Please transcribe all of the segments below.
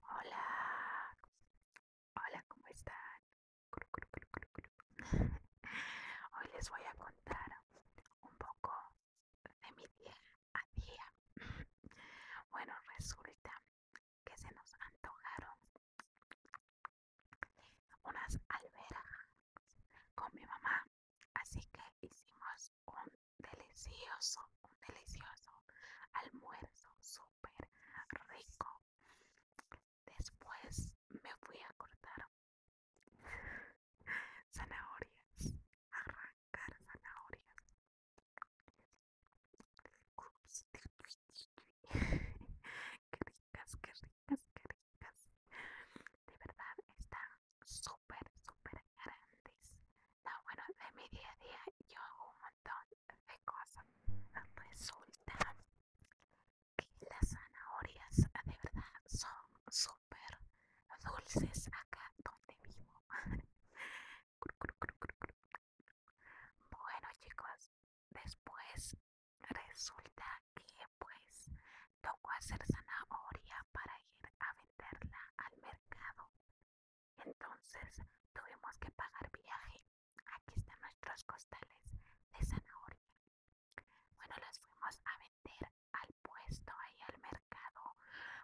Hola, hola, ¿cómo están? Hoy les voy a contar un poco de mi día a día. Bueno, resulta que se nos antojaron unas alberas con mi mamá Así que hicimos un delicioso, un delicioso almuerzo súper rico. Después me fui a cortar zanahorias, arrancar zanahorias. qué ricas, qué ricas, qué ricas. De verdad está súper, súper grandes. No, bueno, de mi día a día yo hago un montón de cosas. Resulta que las zanahorias de verdad son súper dulces acá donde vivo. bueno, chicos, después resulta que pues tocó hacer zanahoria para ir a venderla al mercado. Entonces tuvimos que pagar viaje. Aquí están nuestros costales de zanahoria. Bueno, las fuimos a vender al puesto ahí al mercado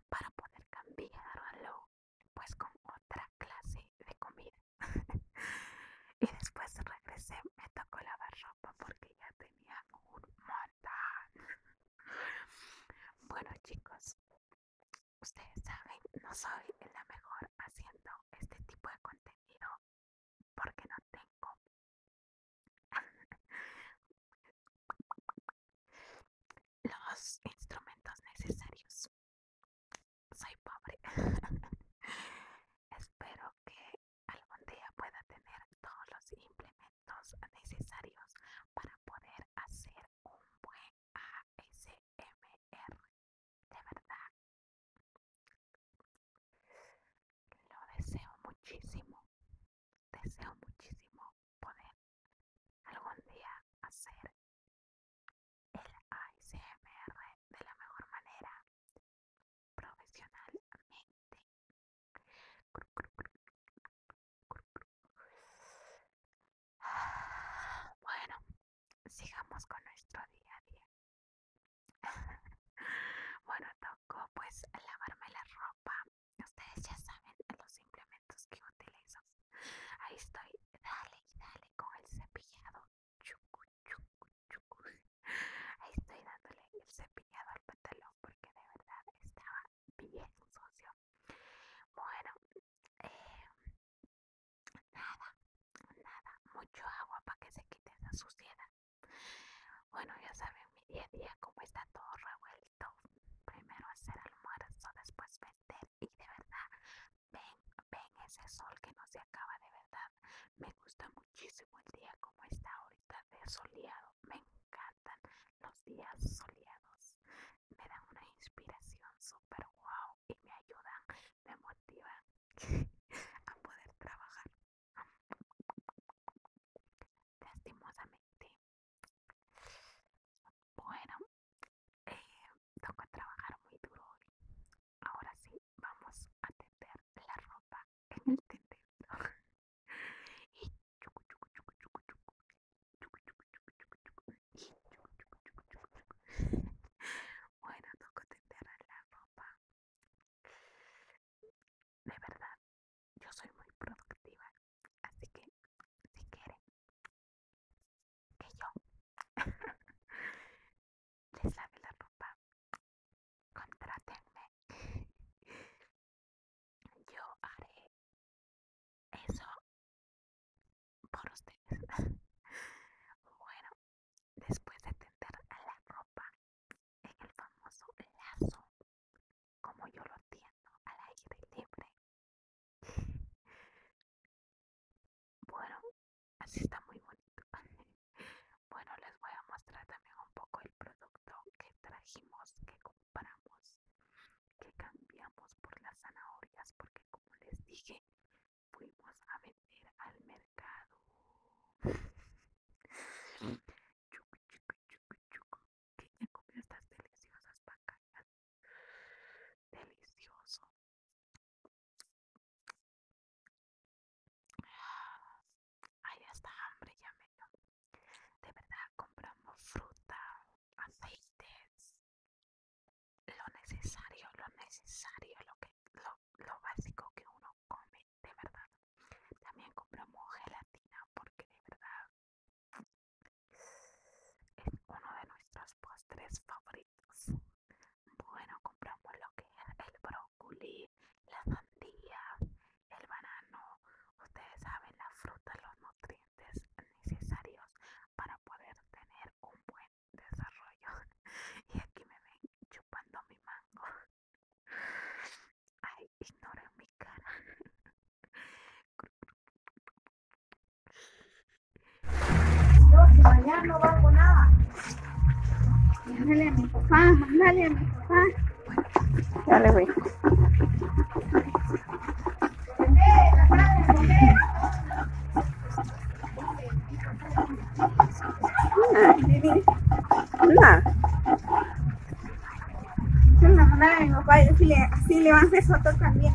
para poder cambiarlo pues con otra clase de comida. y después regresé, me tocó lavar ropa porque ya tenía bueno chicos, ustedes saben, no soy la mejor haciendo este tipo de contenido porque no tengo... los instrumentos necesarios. Soy pobre. Espero que algún día pueda tener todos los implementos necesarios para poder hacer un buen ASMR. De verdad, lo deseo muchísimo. Deseo muchísimo poder algún día hacer el ASMR de la mejor manera profesionalmente. Bueno, sigamos con nuestro día a día. Bueno, tocó pues lavarme la ropa. Ustedes ya saben los implementos que utilizo. Ahí estoy, dale y dale con el cepillado Ahí estoy dándole el cepillado al pantalón porque de verdad estaba bien sucio Bueno, eh, nada, nada, mucho agua para que se quite esa suciedad. Bueno, ya saben, mi día a día como está todo revuelto. Primero hacer almuerzo, después vender y de verdad, ven, ven ese sol que no se acaba de verdad. Me gusta muchísimo el día como está ahorita de soleado. Me encantan los días soleados. Me dan una inspiración súper guau. y me ayudan, me motivan a poder trabajar. Lastimosamente. Bueno, eh, trabajar muy duro hoy ahora sí vamos a tender la ropa en el tendedero y bueno, toco tender la ropa. De verdad, yo soy muy productiva, así que si quieren que yo les sabe la ropa, Contratenme. Yo haré eso por ustedes. Bueno, después de tender la ropa en el famoso lazo, como yo lo entiendo al aire libre, Bueno, así está muy bonito. Bueno, les voy a mostrar también un poco el producto que trajimos, que compramos, que cambiamos por las zanahorias, porque como les dije, fuimos a vender al mercado. Chucu, chucu, ¿Quién ya comió estas deliciosas pacayas delicioso. Ahí está hambre, ya me De verdad, compramos fruta, aceites, lo necesario, lo necesario, lo, que, lo básico que uno come, de verdad. También compramos gelatina porque de verdad es uno de nuestros postres favoritos. Bueno, compramos lo que es el brócoli, la sandía, el banano. Ustedes saben, la fruta, los nutrientes necesarios para poder tener un buen desarrollo. Y aquí me ven chupando mi mango. Ay, ignoren mi cara. Yo si mañana no hago nada. a mi papá, a mi papá. Dale, güey. a mi así le van a hacer también.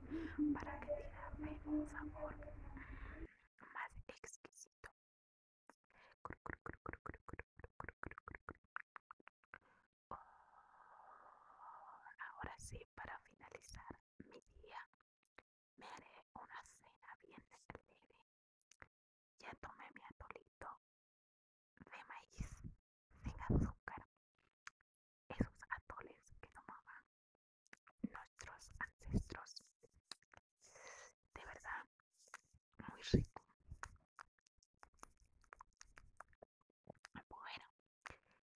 para que te un sabor más exquisito. ahora sí, para finalizar mi día, me haré una cena bien celebre. Ya tomé mi atolito de maíz sin azúcar esos atoles que tomaban nuestros ancestros. De verdad, muy rico. Bueno,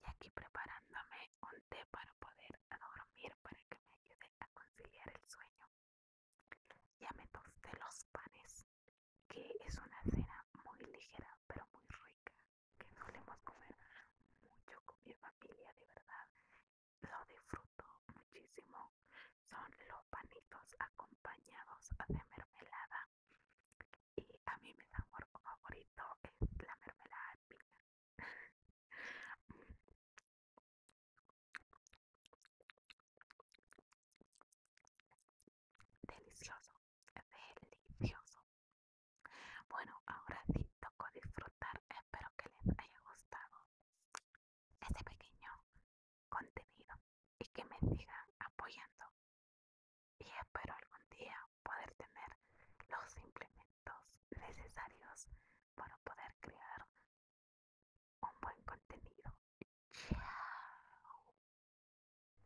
y aquí preparándome un té para poder dormir, para que me ayude a conciliar el sueño. Ya me tosté los panes, que es una cena muy ligera, pero muy rica que solemos comer mucho con mi familia, de verdad. Lo disfruto muchísimo. Son los panitos acompañados de mermelada. Y a mí mi sabor favorito es la mermelada de Delicioso, delicioso. Bueno, ahora sí tocó disfrutar. Espero que les haya gustado este pequeño contenido y que me sigan apoyando. Y espero algún día poder tener los implementos necesarios para poder crear un buen contenido. Chao.